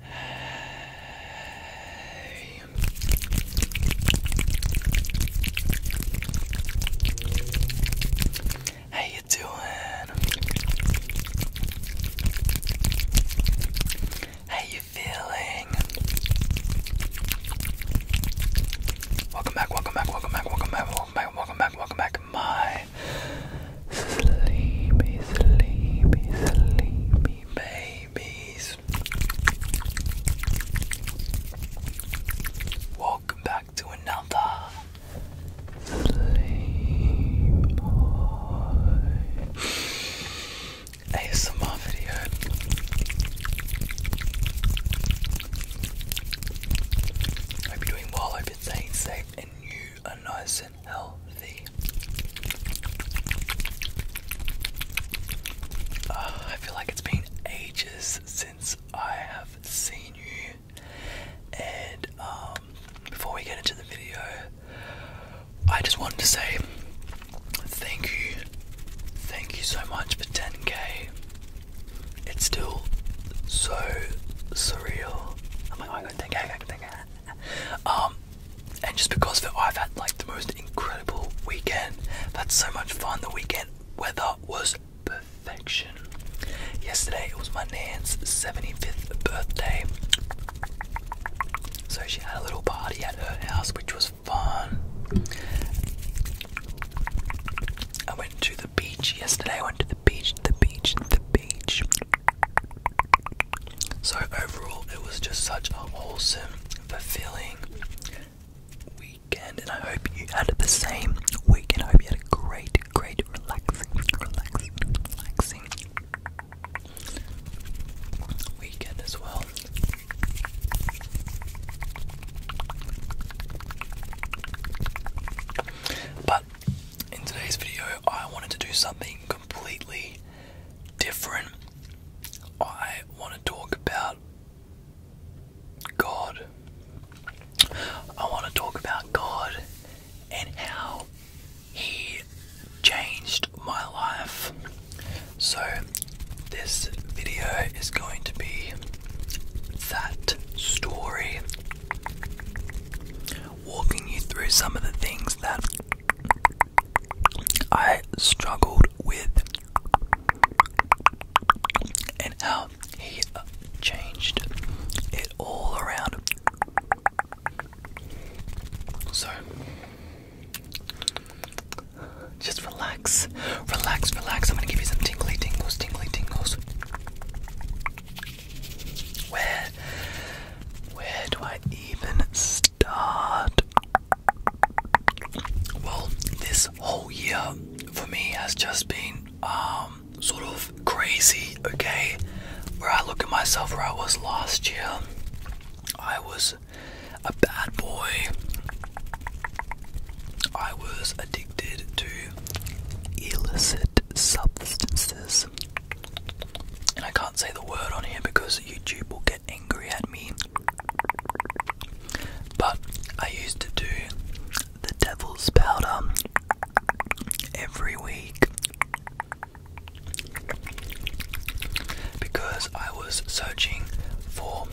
Hey. How you doing? How you feeling? Welcome back, welcome back, welcome back, welcome back, welcome back, welcome back, welcome back, my sleepy, sleepy, sleepy babies. Welcome back to another Sleep ASMR video. Hope you're doing well, hope you're staying safe and you are nice healthy. Ah, I feel like it's been ages since I have seen you. And um, before we get into the video, I just wanted to say thank you. Thank you so much for 10k. It's still so surreal. I'm like, oh my god, 10k, 10k, um, and just because of it, I've had like the most incredible weekend. That's so much fun. The weekend weather was perfection. Yesterday it was my nan's 75th birthday. So she had a little party at her house, which was fun. I went to the beach yesterday. I went to the beach, the beach, the beach. So overall, it was just such a wholesome, fulfilling weekend, and I hope you had the same weekend. I hope you had a great, great, relaxing, relaxing, weekend as well. But in today's video, I wanted to do something completely different. I want to talk about God. I want to talk about God and how He changed my life. So, this video is going to be that story walking you through some of the things that I struggled with and how he changed it all around. So, just relax, relax, relax. I'm gonna give you some tingly tingles, tingly tingles. Where where do I even start? Well, this whole year for me has just been um, sort of crazy, okay? Where I look at myself where I was last year. I was a bad boy. I was addicted to illicit substances. And I can't say the word on here because YouTube will get angry at me. But I used to do the devil's powder every week because I was searching for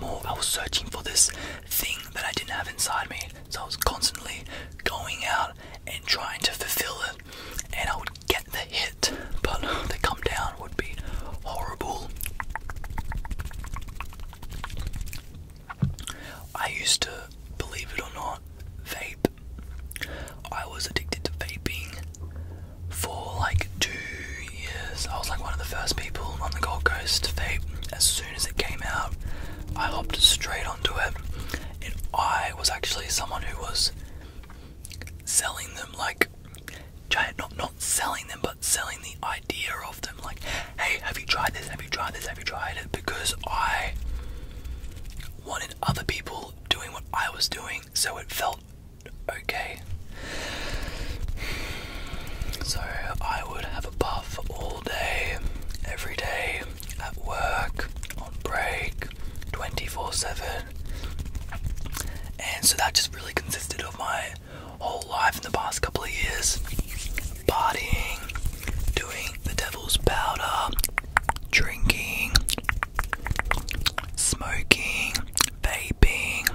more. I was searching for this thing that I didn't have inside me. So I was constantly going out and trying to fulfill it, and I would get the hit, but the come down would be horrible. I used to, believe it or not, vape. I was addicted to vaping for like two years. I was like one of the first people on the Gold Coast to vape. As soon as it came out, I hopped straight onto it and I was actually someone who was selling them like giant not not selling them but selling the idea of them like hey have you tried this have you tried this have you tried it because I wanted other people doing what I was doing so it felt okay so I would have a puff all day every day at work, on break, 24 7. And so that just really consisted of my whole life in the past couple of years partying, doing the devil's powder, drinking, smoking, vaping.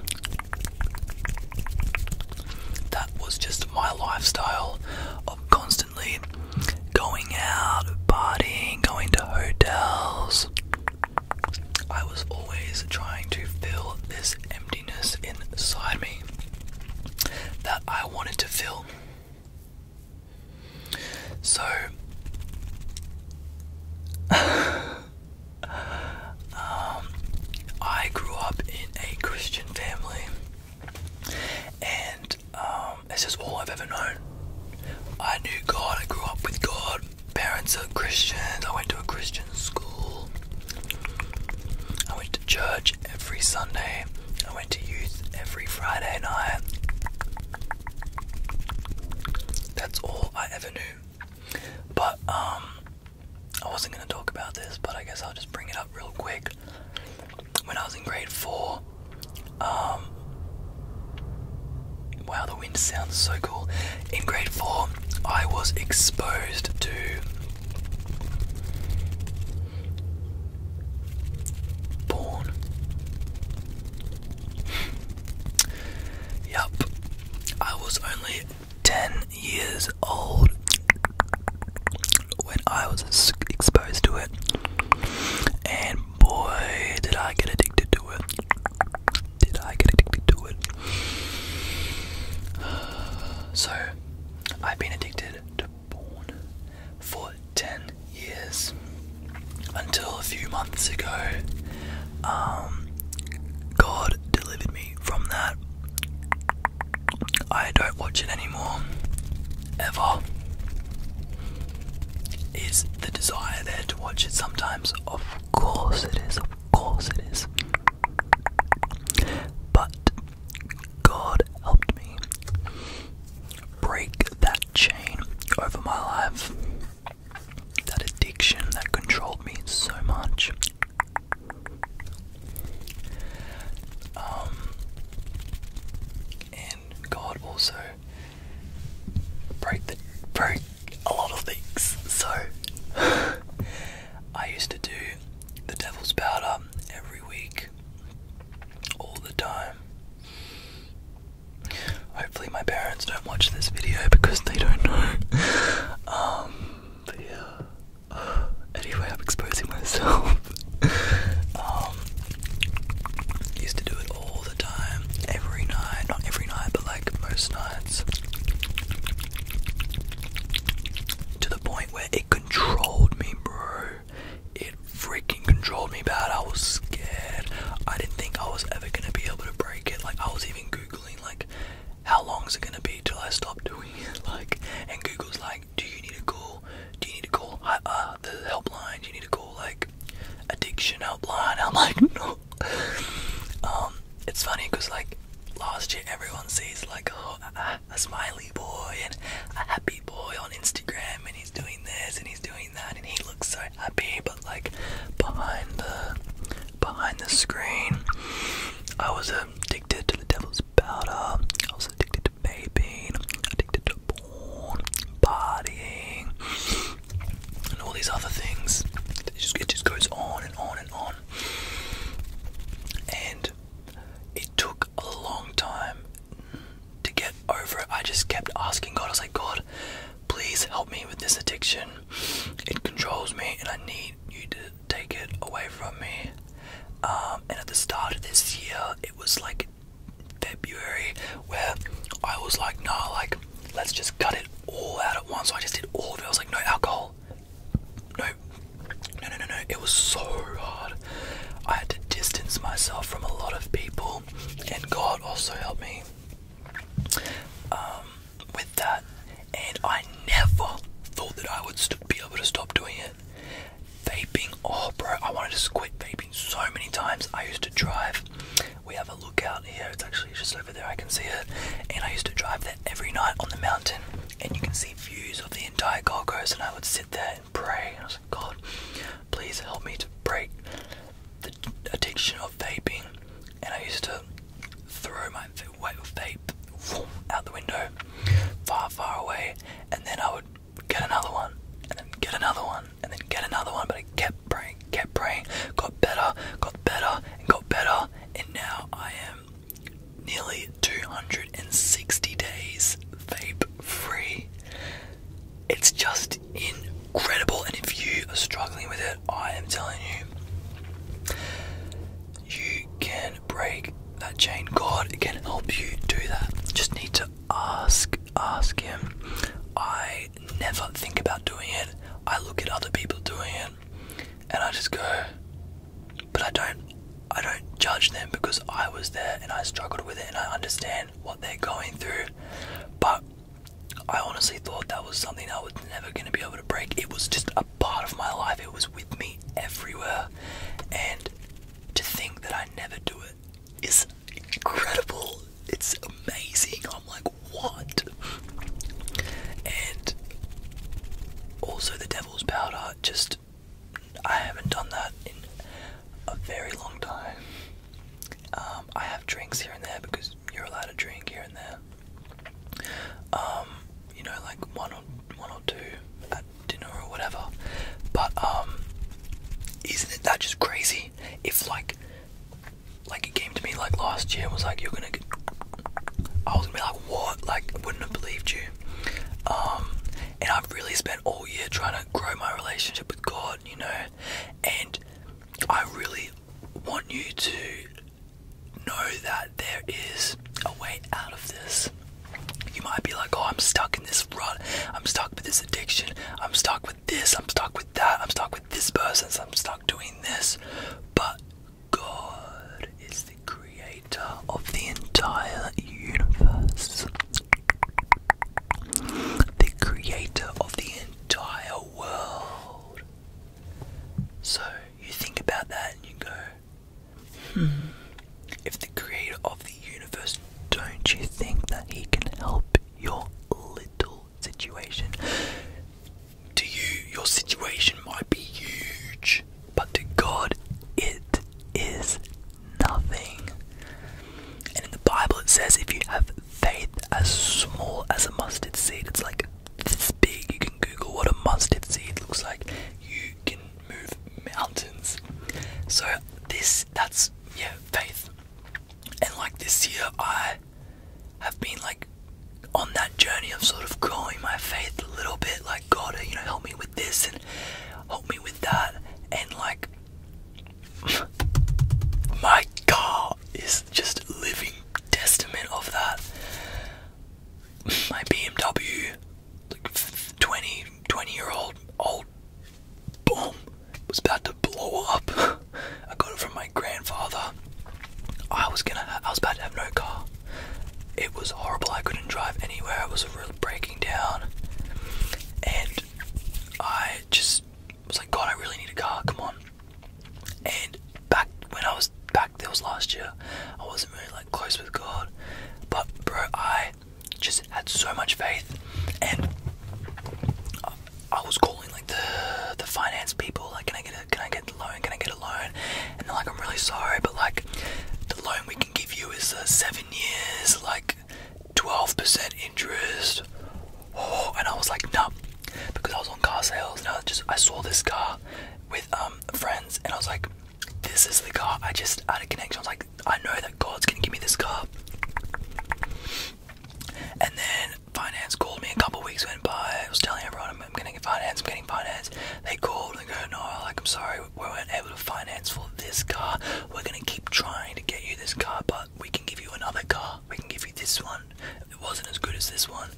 That was just my lifestyle of constant going out, partying, going to hotels. I was always trying to fill this emptiness inside me that I wanted to fill. So, um, I grew up in a Christian family. And um, it's just all I've ever known. I knew God, I grew up with God. Parents are Christians, I went to a Christian school. I went to church every Sunday. I went to youth every Friday night. That's all I ever knew. But um, I wasn't gonna talk about this, but I guess I'll just bring it up real quick when I was in grade four. Um, wow, the wind sounds so cool. In grade four, I was exposed to. Born. Yup. I was only 10 years old when I was exposed to it, and boy, did I get addicted to it. Did I get addicted to it? So, I've been addicted to porn for 10 years until a few months ago. Um, God delivered me from that. I don't watch it anymore, ever, is the desire there to watch it sometimes? Of course it is, of course it is. But God helped me break that chain over my life, that addiction that controlled me so much. Um, and God also broke the a lot of things. So I used to do the devil's powder every week, all the time. Hopefully, my parents don't watch this video because they don't know. Um, yeah, anyway, I'm exposing myself. Um, used to do it all the time, every night. Not every night, but like most nights. To the point where it controlled me, bro. It freaking controlled me bad. I was scared. I didn't think I was ever gonna be able to break it. Like I was even googling like, how long it gonna be till I stop doing it? Like, and Google's like do you need to call? Do you need to call uh, the helpline? Do you need to call like addiction helpline? I'm like, no. um, it's funny because like last year everyone sees like a, a smiley boy and a happy boy on Instagram, and he's doing this and he's doing that, and he looks so happy, but like behind the behind the screen, I was addicted to the devil's powder. I was addicted to addicted addicted to porn, partying, and all these other things. it just goes on and on and on. And it took a long time to get over it. I just kept asking God, I was like, God, please help me with this addiction. It controls me, and I need you to take it away from me. Um, and at the start of this year, it was like February where I was like, nah, like, let's just cut it all out at once. So I just did all of it. I was like, no alcohol. No, no, no, no, no. It was so hard. I had to distance myself from a lot of people, and God also helped me um, with that. And I never thought that I would be able to stop doing it. Vaping, oh bro, I wanted to quit vaping so many times. I used to drive. We have a lookout here. It's actually just over there. I can see it. And I used to drive there every night on the mountain, and you can see views of the entire Gold Coast. And I would sit there and pray. I was like, God, please help me to break the addiction of vaping. And I used to throw my vape out the window, far, far away, and then I would get another one, and then get another one, and then get another one, but it kept praying, kept praying, got better, got better, and got better, and now I am nearly 260 days vape free. It's just incredible, and if you are struggling with it, I am telling you, you can break that chain God. can help you do that. Just need to ask, ask him. I never think about doing it. I look at other people doing it, and I just go. But I don't, I don't judge them because I was there and I struggled with it, and I understand what they're going through. But I honestly thought that was something I was never going to be able to break. It was just a part of my life. It was with me everywhere. And to think that I never do it is incredible. It's amazing. I'm like, what? And also, the devil's powder, just I haven't done that in a very long time. Um, I have drinks here and there because you're allowed to drink here and there. Um, you know, like one one or two at dinner or whatever. But um, isn't it that just crazy? If like, like it came to me like last year was like, you're gonna, get... I was gonna be like, what? Like, wouldn't have believed you. Um, and I've really spent all year trying to grow my relationship with God, you know, and I really want you to know that there is a way out of this. You might be like, oh, I'm stuck in this rut. I'm stuck with this addiction. I'm stuck with this. I'm stuck with that. I'm stuck with this person. I'm stuck doing this. But God is the creator of the entire universe, the creator of the entire world. So you think about that and you go, Hmm. If the creator of the universe, don't you think that he can help your little situation? To you, your situation might be huge, but to God, it is nothing. And in the Bible, it says if you have faith as small as a mustard seed, it's like this big. You can Google what a mustard seed looks like. You can move mountains. So this that's yeah, faith. And like this year I have been like on that journey of sort of growing my faith a little bit, like God, you know, help me with this and help me with that and like my car is just living testament of that my BMW, like 20, 20 year old, old, boom, was about to blow up. I got it from my grandfather. I was gonna, I was about to have no car. It was horrible. I couldn't drive anywhere. I was really breaking down, and I just was like, God, I really need a car. Come on. And back when I was back back. That was last year. I wasn't really like close with God, but bro, I just had so much faith, and I, was calling like the the finance people, like, can I get a can I get a loan? Can I get a loan? And they're like, I'm really sorry, but like, the loan we can give you is seven years, like, twelve percent interest. Oh, and I was like, no, because I was on car sales, and I just I saw this car with um friends, and I was like, this is the car. I just had a connection. I was like, I know that God's gonna give me this car. And then finance called me a couple weeks went by. I was telling everyone I'm, I'm getting finance. I'm getting finance. They called and go, no, like I'm sorry, we weren't able to finance for this car. We're gonna keep trying to get you this car, but we can give you another car. We can give you this one. It wasn't as good as this one.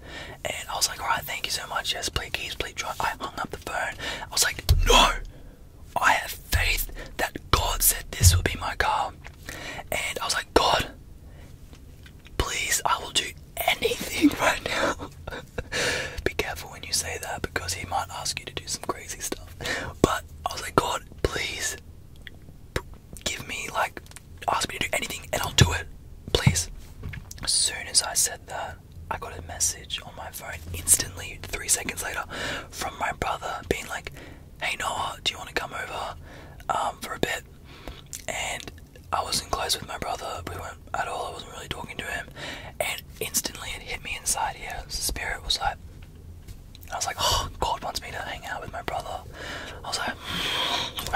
And I was like, alright, thank you so much. Yes, please, please, please try. I hung up the phone. I was like, no! I have faith that God said this will be my car. And I was like, God, please, I will do anything right now. be careful when you say that because he might ask you to do some crazy stuff. But I was like, God, please give me, like, ask me to do anything and I'll do it. Please. As soon as I said that, I got a message on my phone instantly, three seconds later, from my brother being like, Hey Noah, do you want to come over um, for a bit? And I wasn't close with my brother, we weren't at all, I wasn't really talking to him. And instantly it hit me inside here. The spirit was like, I was like, oh, God wants me to hang out with my brother. I was like,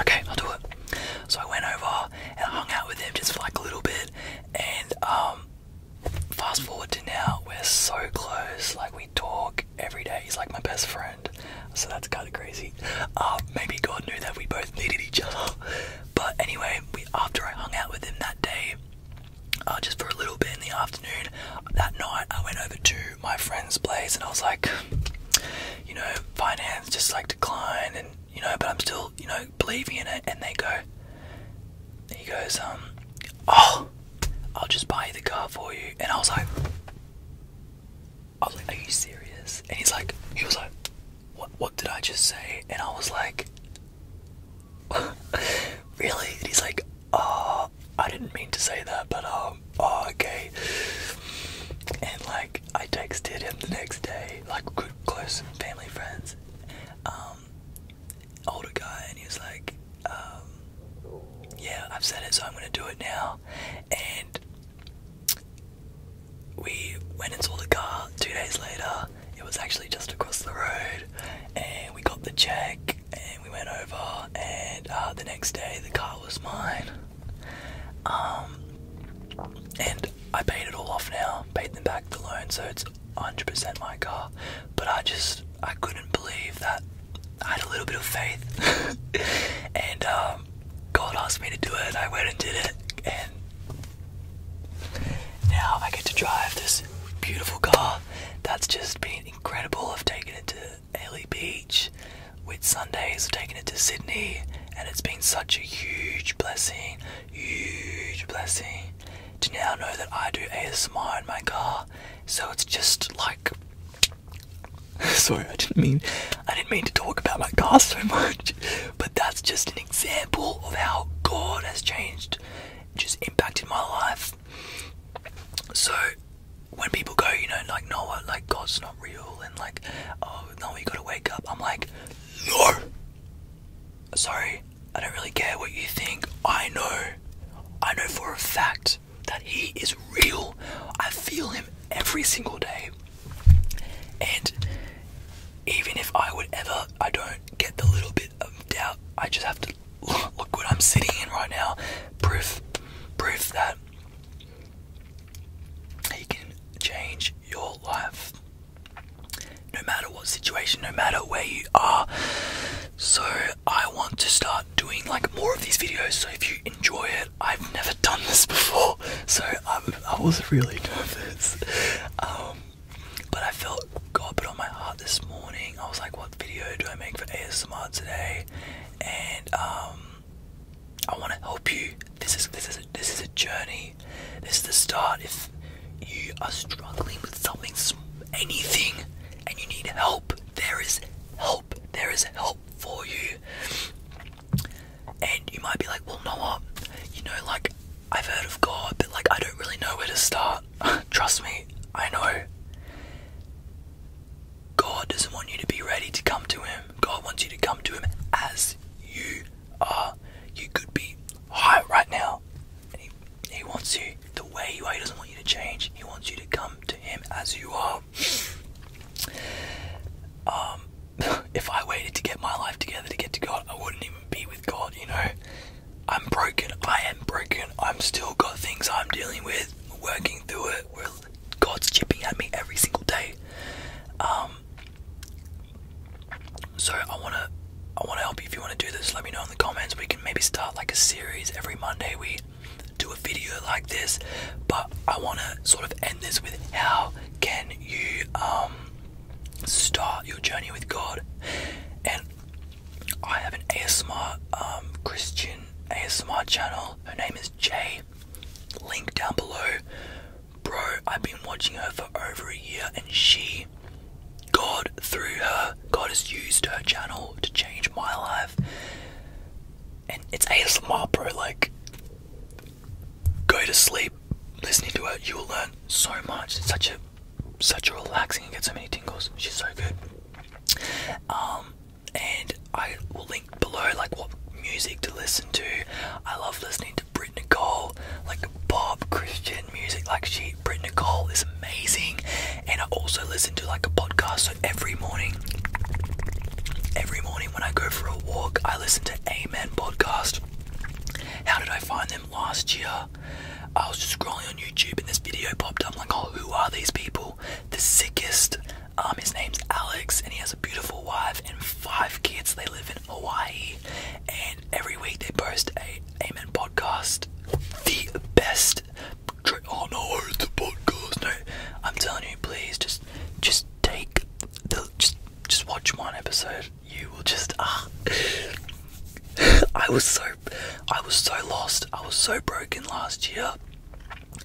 okay, I'll do it. So I went over and hung out with him just for like a little bit. And um, fast forward to now, we're so close. Like we talk every day. He's like my best friend. So that's kind of crazy. Uh, maybe God knew that we both needed each other. But anyway, after I hung out with him that day, uh, just for a little bit in the afternoon, that night I went over to my friend's place and I was like, you know, finance just like declined and you know, but I'm still, you know, Believe in it, and they go, he goes, um, oh, I'll just buy the car for you, and I was like, I was like, are you serious? And he's like, he was like, what, what did I just say? And I was like, really? And he's like, oh, I didn't mean to say that, but um, oh, okay. And like, I texted him the next day, like, close family friends, um, older guy, and he was like, um, "Yeah, I've said it, so I'm gonna do it now." And we went and saw the car. Two days later, it was actually just across the road, and we got the check, and we went over, and uh, the next day the car was mine. Um, and I paid it all off now, paid them back the loan, so it's 100% my car. But I just, I couldn't believe that. I had a little bit of faith, and um, God asked me to do it. I went and did it, and now I get to drive this beautiful car that's just been incredible. I've taken it to Ailey Beach, with Sundays, I've taken it to Sydney, and it's been such a huge blessing, huge blessing to now know that I do ASMR in my car. So it's just like sorry, I didn't mean I didn't mean to talk about my car so much, but that's just an example of how God has changed, just impacted my life. So when people go, you know, like Noah, like God's not real, and like, oh no, you gotta wake up. I'm like, no! Sorry, I don't really care what you think. I know. I know for a fact that he is real. I feel him every single day. And even if I would ever, I don't get the little bit of doubt, I just have to look what I'm sitting in right now. Proof, proof that he can change your life no matter what situation, no matter where you are. So, I want to start doing like more of these videos. So, if you enjoy it, I've never done this before, so i was really nervous. Um, but I felt God put on my heart this morning. I was like, what video do I make for ASMR today? And um, I want to help you. This is this is a, this is a journey. This is the start. If you are struggling with something, anything, and you need help, there is help. There is help for you. And you might be like, well, no, You know, like I've heard of God, but like I don't really know where to start. Trust me, I know. God doesn't want you to be ready to come to Him. God wants you to come to Him as you Ah, you could be high right now, he, wants you the way you are. He doesn't want you to change. He wants you to come to him as you are. Um, if I waited to get my life together to get to God, I wouldn't even be with God. You know, I'm broken. I am broken. I'm still got things I'm dealing with. working through it. we God's chipping at me every single day. Um, so I wanna I wanna help you if you wanna do this. Let me know in the comments. We can maybe start like a series every Monday. We do a video like this, but I wanna sort of end this with how can you um, start your journey with God? And I have an ASMR um, Christian ASMR channel. Her name is Jay. Link down below. Bro, I've been watching her for over a year and she, God, through her, God has used her channel to change my life. And it's ASMR, bro. Like, go to sleep listening to her. You will learn so much. It's such a, such a relaxing. and get so many tingles. She's so good. Um, and I will link below, like what music to listen to. I love listening to Brit Cole, like Bob Christian music. Like she, Brit Cole is amazing, and I also listen to like a podcast. So every morning, every morning when I go for a walk, I listen to Amen podcast. How did I find them last year? I was just scrolling on YouTube and this video popped up. like, oh, who are these people? The sickest, um, his name's Alex, and he has a beautiful wife and five kids. They live in Hawaii, and every week they post a Amen podcast, the best. Oh no, it's a podcast. No, I'm telling you, please just, just take the, just, just watch one episode. You will just ah. I was so, I was so lost. I was so broken last year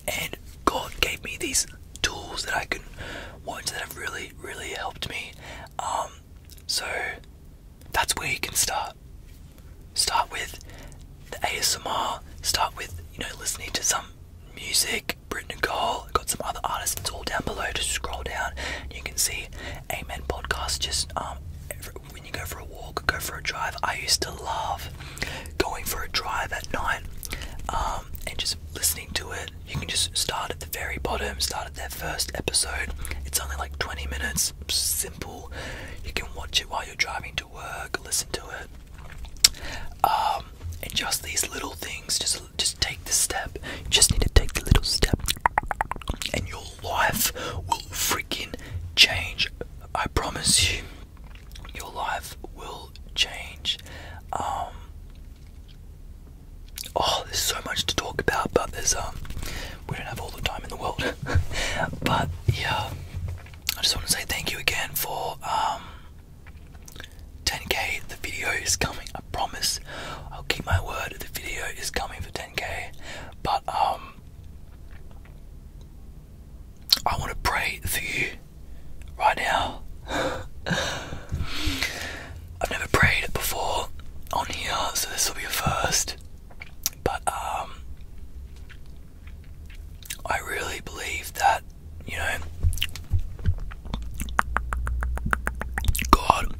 and God gave me these tools that I can watch that have really, really helped me. Um, so that's where you can start. Start with the ASMR. Start with you know listening to some music. Britton Cole got some other artists. It's all down below. Just scroll down. You can see Amen podcast. Just um, when you go for a walk, go for a drive. I used to love going for a drive at night. Um, and just listening to it, you can just start at the very bottom, start at that first episode. It's only like 20 minutes, simple. You can watch it while you're driving to work, listen to it. Um, and just these little things, just just take the step. You just need to take the little step, and your life will freaking change. I promise you, your life will change. Um, oh, there's so much to talk about, but there's um, we don't have all the time in the world. but yeah, I just want to say thank you again for um, 10k. The video is coming. I promise. I'll keep my word. The video is coming for 10k. But um, I want to pray for you right now. I've never prayed before on here, so this will be a first. But um, I really believe that you know God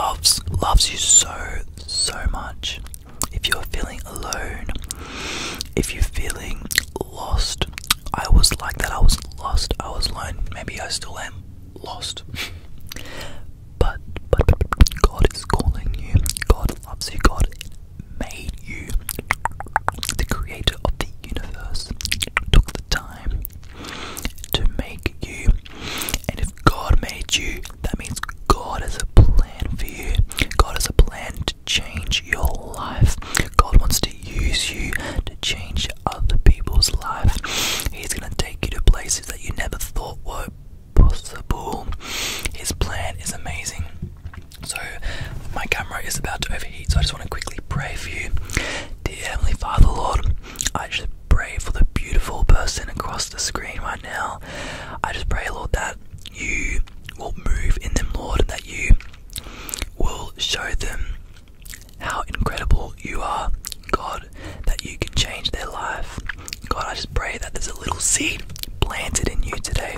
loves loves you so so much. If you're feeling alone, if you're feeling lost. I was like that. I was lost. I was alone. Maybe I still am lost. but, God is calling you. God loves you. God made you. The creator of the universe took the time to make you. And if God made you, that means God has a plan for you. God has a plan change your life. God wants to use you to change other people's life. He's going to take you to places that you never thought were possible. His plan is amazing. So, my camera is about to overheat, so I just want to quickly pray for you. Dear Heavenly Father, Lord, I just pray for the beautiful person across the screen right now. I just pray, Lord, that you will move in them, Lord, that you will show them how incredible you are, God, that you can change their life. God, I just pray that there's a little seed planted in you today.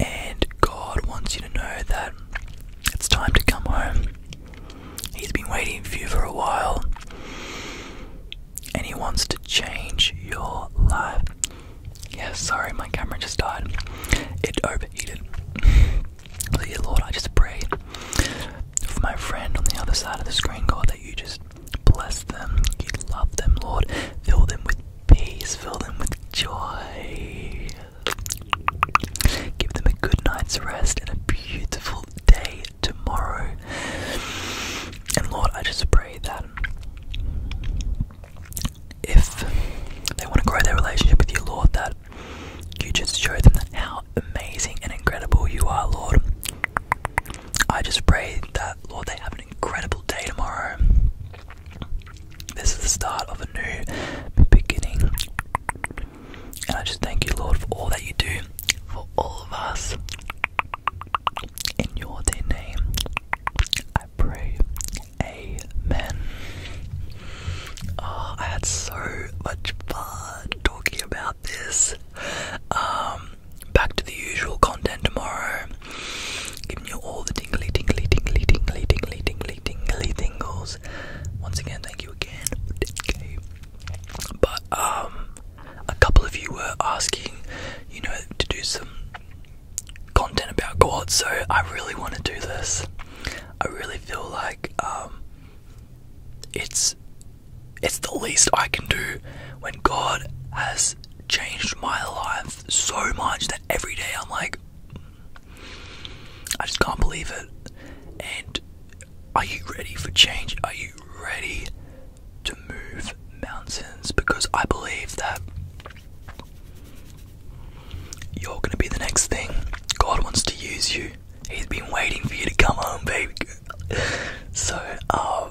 And God wants you to know that it's time to come home. He's been waiting for you for a while. And He wants to change your life. Yeah, sorry, my camera just died. It overheated. So, Lord, I just pray for my friend on the other side of the screen, God, that you just bless them, you love them, Lord. Fill them with peace, fill them with joy. Give them a good night's rest and a beautiful day tomorrow. And Lord, I just pray that if they want to grow their relationship with you, Lord, that you just show them how amazing and incredible you are, Lord. I just pray that, Lord, they have an incredible day tomorrow. This is the start of a new beginning. And I just thank you, Lord, for all that you do for all of us. In your name. I pray. Amen. Oh, I had so much fun talking about this. Um, back to the usual content tomorrow. Giving you all the tingly, tingly, tingly, tingly, tingly, tingly, tingly tingles. Once again, thank you again. Okay. But um, a couple of you were asking, you know, to do some content about God, so I really want to do this. I really feel like um, it's it's the least I can do when God has changed my life so much that every day I'm like, I just can't believe it. And are you ready for change? Are you ready to move? mountains because I believe that you're going to be the next thing. God wants to use you. He's been waiting for you to come home, baby. so, uh,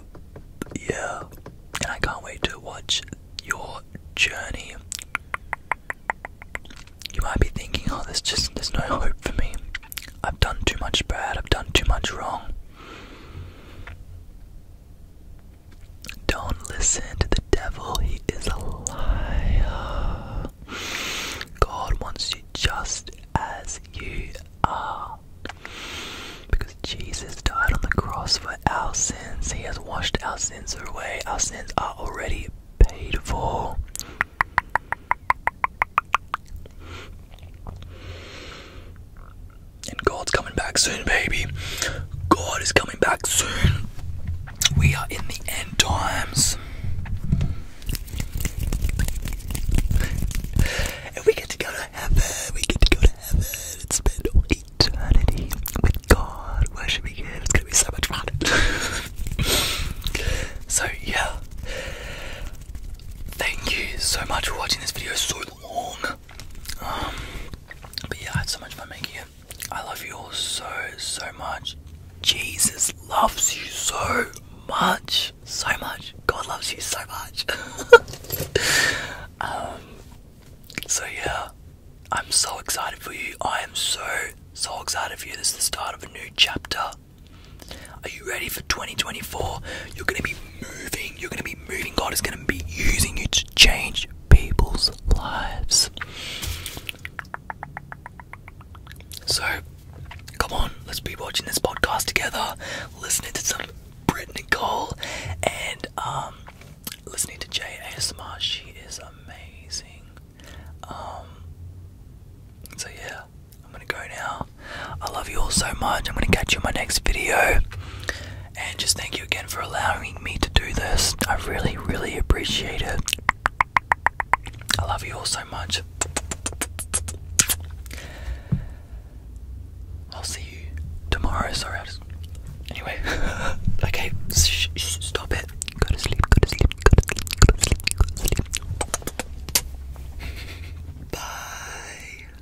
yeah. I can't wait to watch your journey. You might be thinking, oh, there's just there's no hope for me. I've done too much bad. I've done too much wrong. Don't listen to the devil, he is a liar. God wants you just as you are. Because Jesus died on the cross for our sins, He has washed our sins away. Our sins are already paid for. And God's coming back soon, baby. God is coming back soon. We are in the end times. And we get to go to heaven. We get to go to heaven and spend eternity with God worshiping Him. It's going to be so much fun. so, yeah. Thank you so much for watching this video so long. Um, but yeah, I had so much fun making it. I love you all so, so much. Jesus loves you so much. So much. God loves you so much. Um, so yeah, I'm so excited for you. I am so, so excited for you. This is the start of a new chapter. Are you ready for 2024? You're going to be moving. You're going to be moving. God is going to be using you to change people's lives. So, come on, let's be watching this podcast together, listening to some Brit Cole, and um, listening to Jay ASMR. She is amazing. Um, so, yeah, I'm going to go now. I love you all so much. I'm going to catch you in my next video. And just thank you again for allowing me to do this. I really, really appreciate it. I love you all so much. I'll see you tomorrow. Sorry, I just. Anyway, okay, stop it. Go to sleep, go to sleep, go to sleep, go to sleep, go to sleep. Bye.